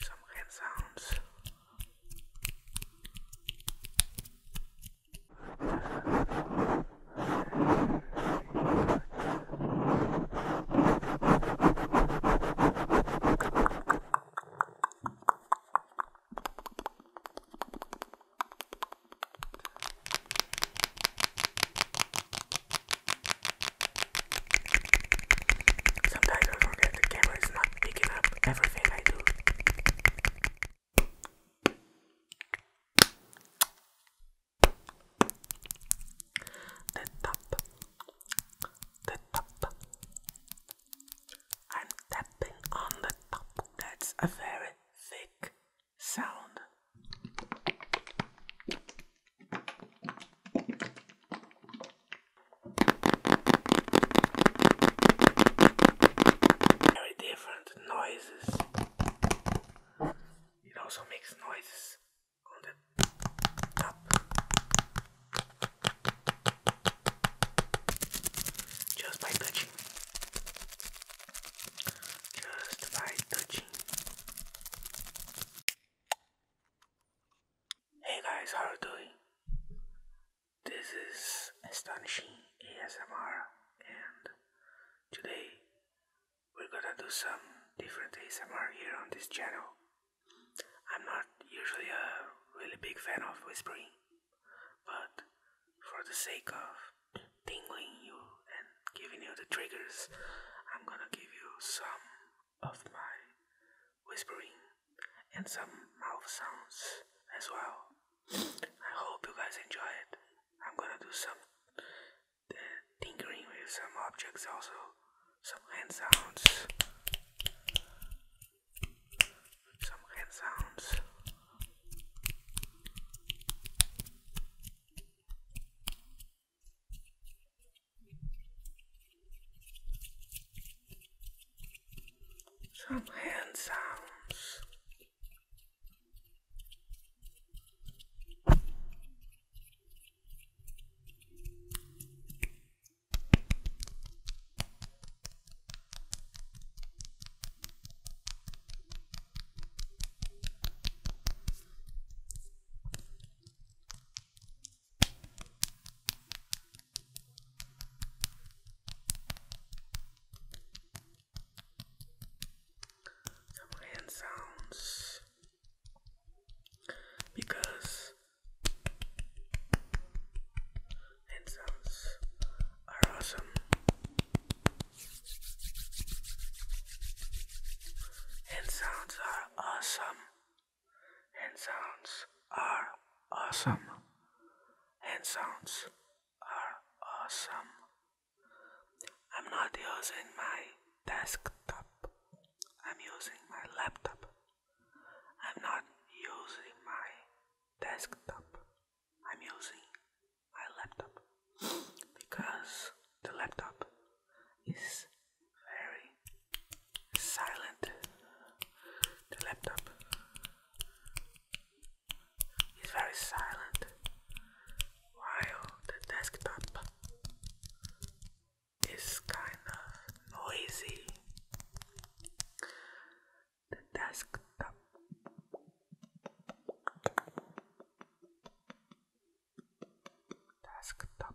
some hand sounds. Sometimes I forget the camera is not picking up everything I do. The top, the top. I'm tapping on the top. That's a very thick sound. Very different noises. It also makes noises on the top. Just by touching. Just by touching. Hey guys, how are you doing? This is Astonishing ASMR and today we're gonna do some different ASMR here on this channel. I'm not usually a really big fan of whispering, but for the sake of tingling you and giving you the triggers, I'm gonna give you some of my whispering and some mouth sounds as well. I hope you guys enjoy it. I'm gonna do some uh, tinkering with some objects also, some hand sounds, some hand sounds. Some hand sounds. Double hand sounds because hand sounds are awesome. Hand sounds are awesome and sounds are awesome. And sounds are awesome. I'm not using my desktop, I'm using my laptop. I'm not using my desktop, I'm using my laptop because the laptop is very silent. The laptop is very silent while the desktop is kind of noisy. The desktop desktop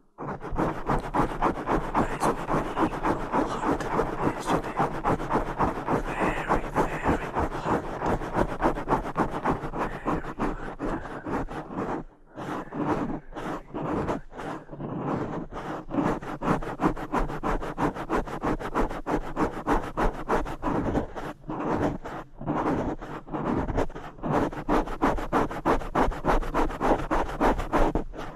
Nice and hot yesterday. Very, very hot. Very hot.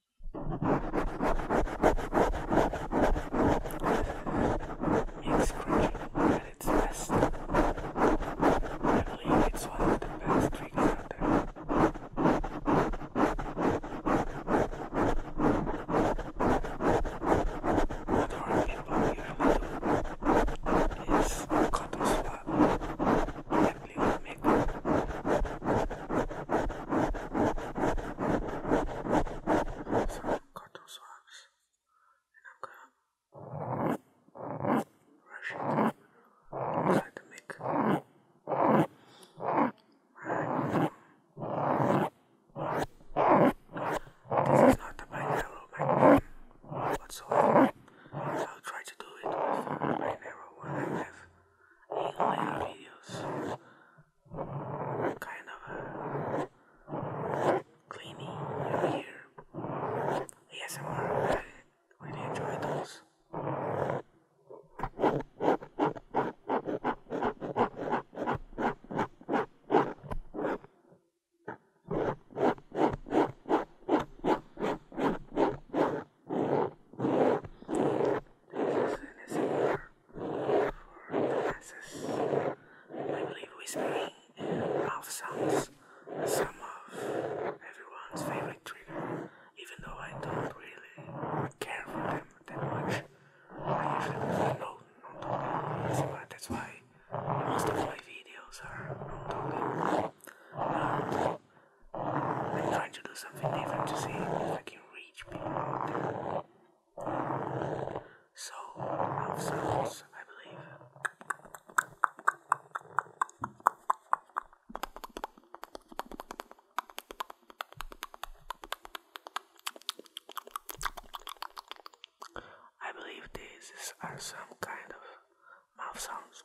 Makes cricket at its best. I believe it's one of the best triggers out there. What our people usually do is cut swap and this. So i got those ones, and I'm gonna brush it inside This is not the binaural microphone whatsoever, so I'll try to do it with a binaural one have my videos are kind of uh, cleaning your ear. Yes, I really enjoy those. This is an ASMR for masses. I believe whispering and rough sounds some of everyone's favorite trigger, even though I don't really care for them that much. I usually prefer no non but that's why most of my videos are non I am trying to do something different to see if I can reach people out there. So, enough sounds, I believe. I believe these are some kind of mouth sounds.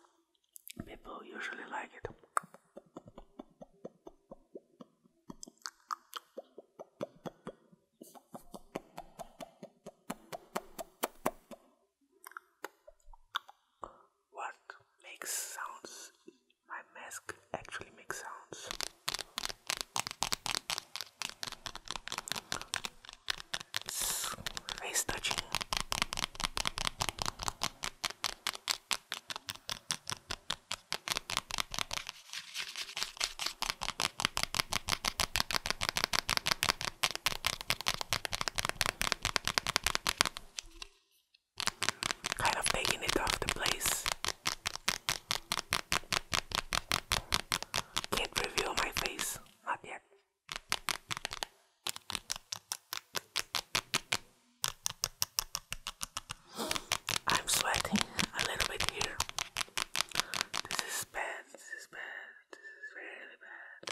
People usually like it. What makes sounds? My mask actually makes sounds. face touching. Kind of taking it off the place. Can't reveal my face, not yet. I'm sweating a little bit here. This is bad, this is bad, this is really bad.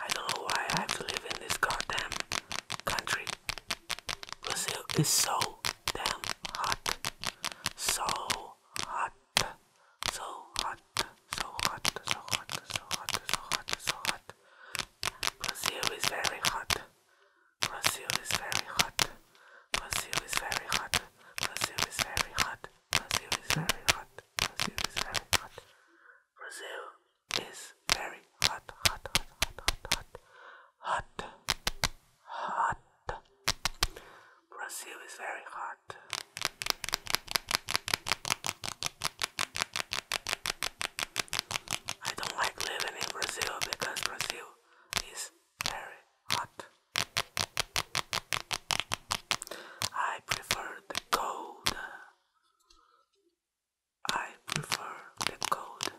I don't know why I have to live in this goddamn country. Brazil is so damn hot. So hot hot, so hot, so hot, so hot, so hot, so hot, so hot. Brazil is very hot. Brazil is very hot. Brazil is very hot. Brazil is very hot. Brazil is very hot. Brazil is very hot. Brazil is very hot, hot, hot, hot, hot, hot, hot, hot. Brazil is very hot. I don't like living in Brazil because Brazil is very hot. I prefer the cold. I prefer the cold.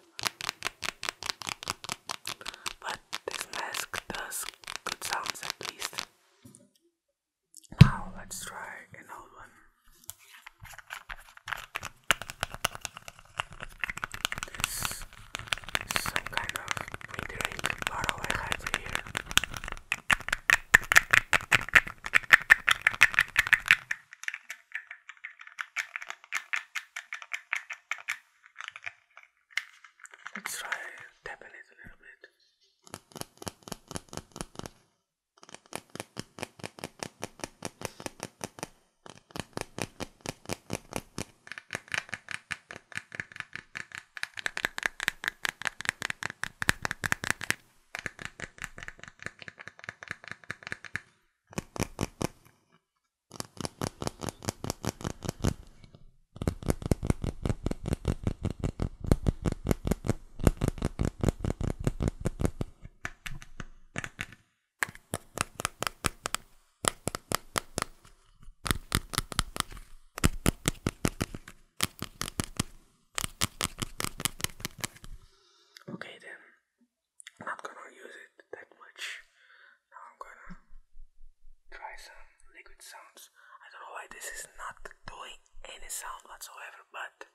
But this mask does good sounds at least. Now let's try an one. This is some kind of wintering bottle I here. Let's try tapping it a little bit. Okay then, I'm not gonna use it that much. Now I'm gonna try some liquid sounds. I don't know why this is not doing any sound whatsoever, but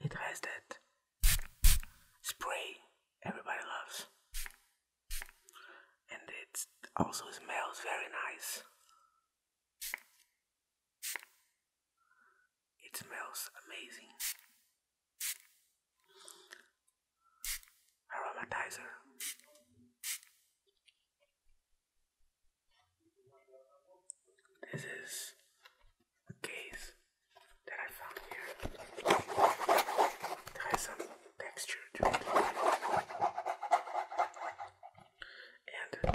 it has that spray everybody loves. And it also smells very nice. It smells amazing. Aromatizer. This is a case that I found here. It has some texture to it. And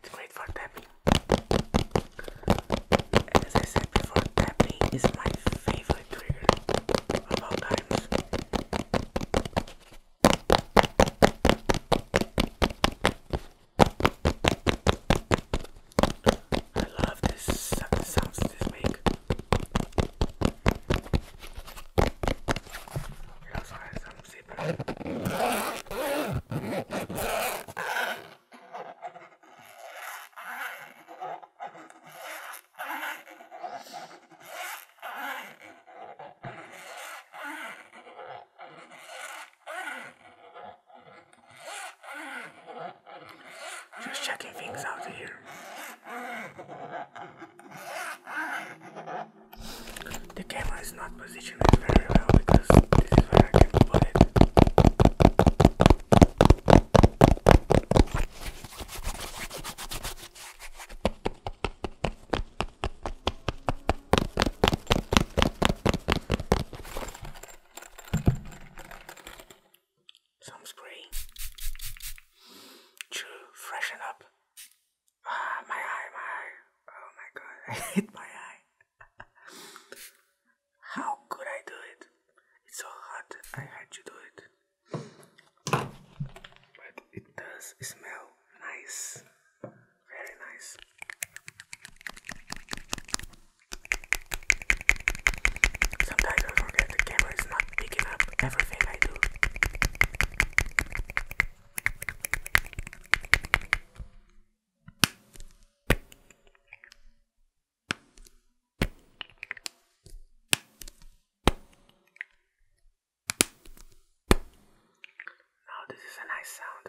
it's great for tapping. As I said before, tapping is my favorite trigger of all times. I love this sounds this make. It also has just checking things out here. The camera is not positioned very well because this is where I can put it. Some spray to freshen up. Ah, my eye, my eye. Oh my god, I hit my eye. How could I do it? It's so hot, I had to do it. But it does smell nice, very nice. Sometimes I forget the camera is not picking up everything I do. Now, oh, this is a nice sound.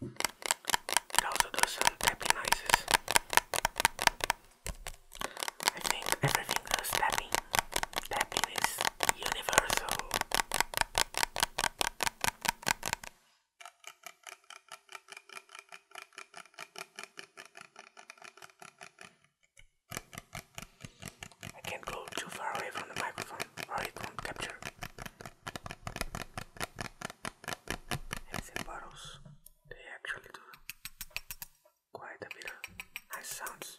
It also does some tapping noises. I think everything does tapping. Tapping is universal. I can't go too far away from the microphone or it won't capture and bottles, they actually do quite a bit of nice sounds.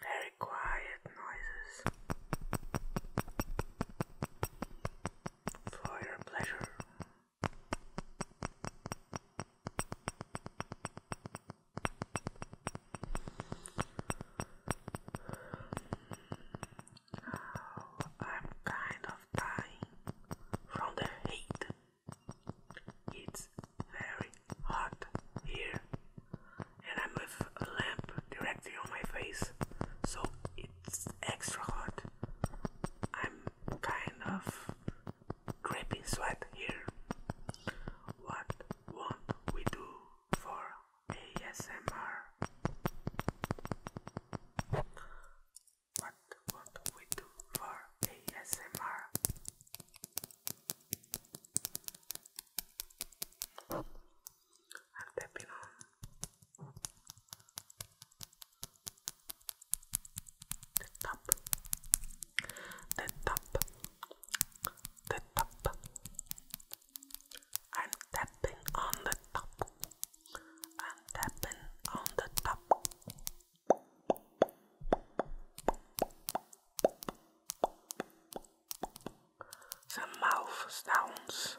Very quiet noises for your pleasure. Oh, I'm kind of dying from the heat. It's very hot here, and I'm with a lamp directly on my face, so it's extra hot. I'm kind of creepy sweat here. What will we do for ASMR? What will we do for ASMR? The top, the top the top. I'm tapping on the top. I'm tapping on the top. The mouth sounds.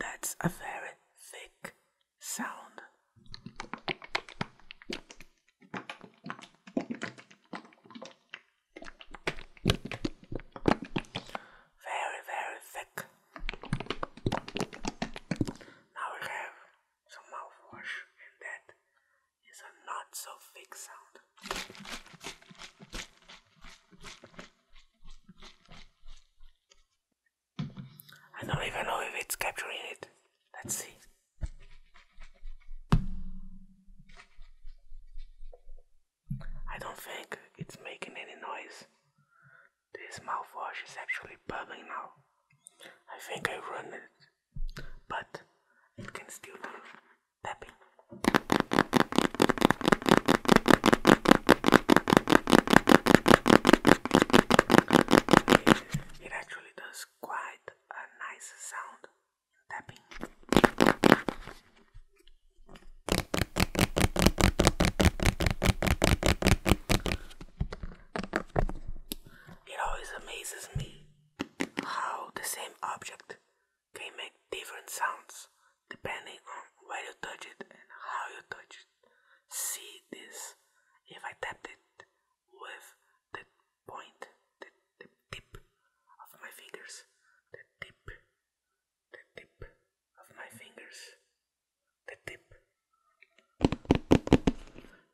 That's a very thick sound. Very, very thick. Now we have some mouthwash in that is a not so fake sound. I don't even know if it's capturing it. Let's see. I don't think it's making any noise. This mouthwash is actually bubbling now. I think I run it, but it can still do it actually does quite a nice sound tapping. It always amazes me how the same object can make different sounds depending on where you touch it and how you touch it. See this if I tap it with the point, the tip of my fingers, the tip, the tip of my fingers, the tip.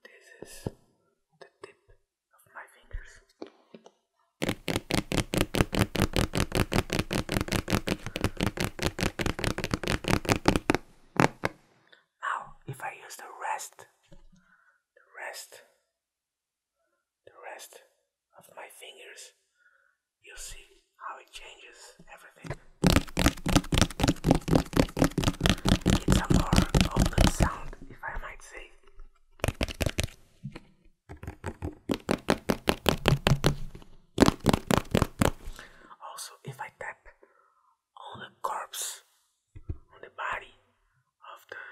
This is the tip of my fingers. Now, if I use the rest, the rest, the rest of my fingers, you see how it changes everything. It's a more open sound, if I might say. Also, if I tap on the corpse, on the body of the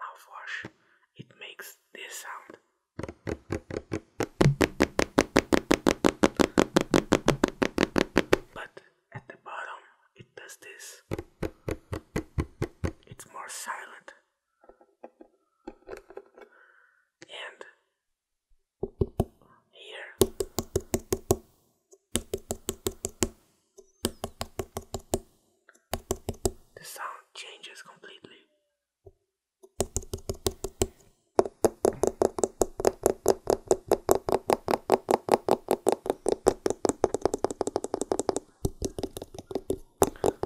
mouthwash, it makes this sound. But at the bottom it does this. It's more silent. And here the sound changes completely.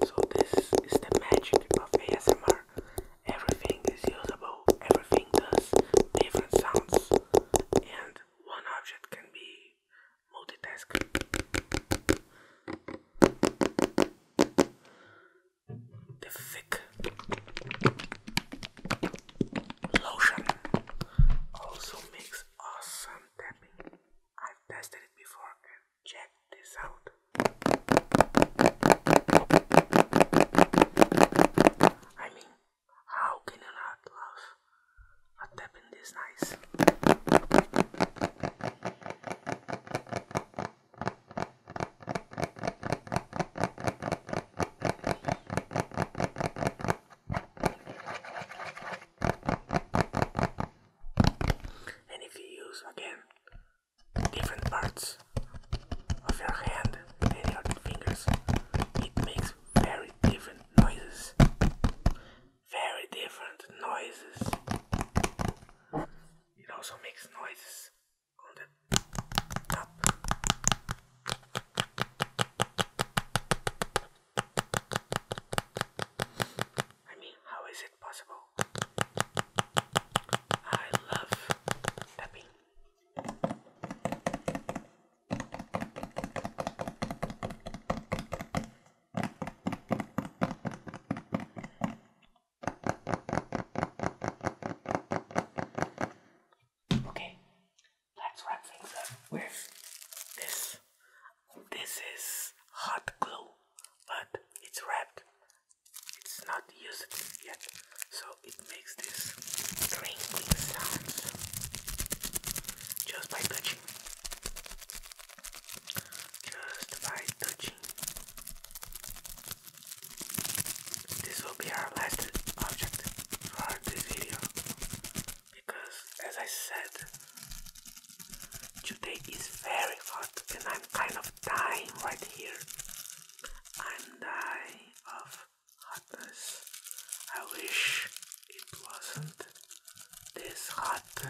So this is the magic of ASMR. Everything is usable, everything does different sounds, and one object can be multitasking. The thick lotion also makes awesome tapping. I've tested it before check this out. I mean, how can you not love a tapping this nice? And if you use again different parts of your hand and your fingers, it makes very different noises. Very different noises. It also makes noises on the top. I mean, how is it possible? I love tapping. Okay, let's wrap things up with this. This is hot glue, but it's wrapped. It's not used yet, so it makes this crinkling sounds just by touching. Just by touching. This will be our last object for this video because as I said today is very hot and I'm kind of dying right here I'm dying of hotness I wish it wasn't this hot I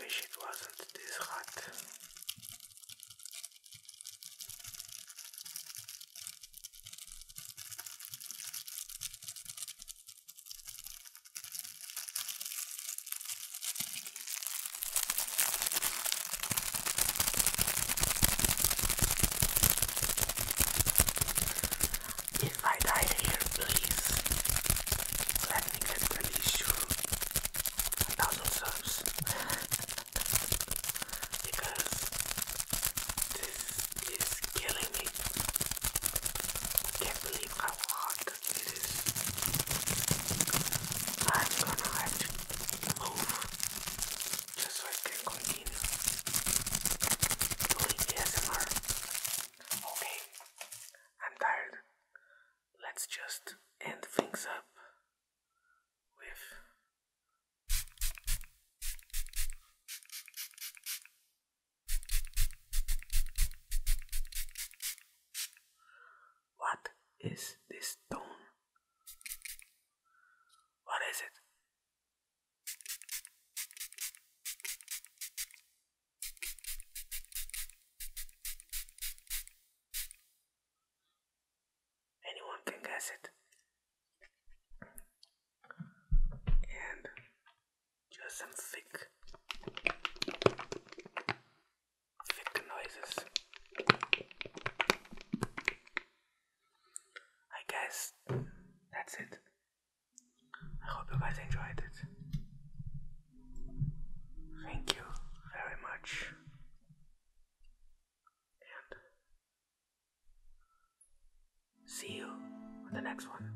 wish it wasn't this hot. If I died here, please let me get the issue. A thousand subs because this is killing me. Can't believe how hot it is. I'm gonna have to move just so I can continue doing ASMR. Okay, I'm tired. Let's just end things up what is this stone? What is it? Anyone can guess it. And just some thick, thick noises. I guess that's it. I hope you guys enjoyed it. Thank you very much see you on the next one.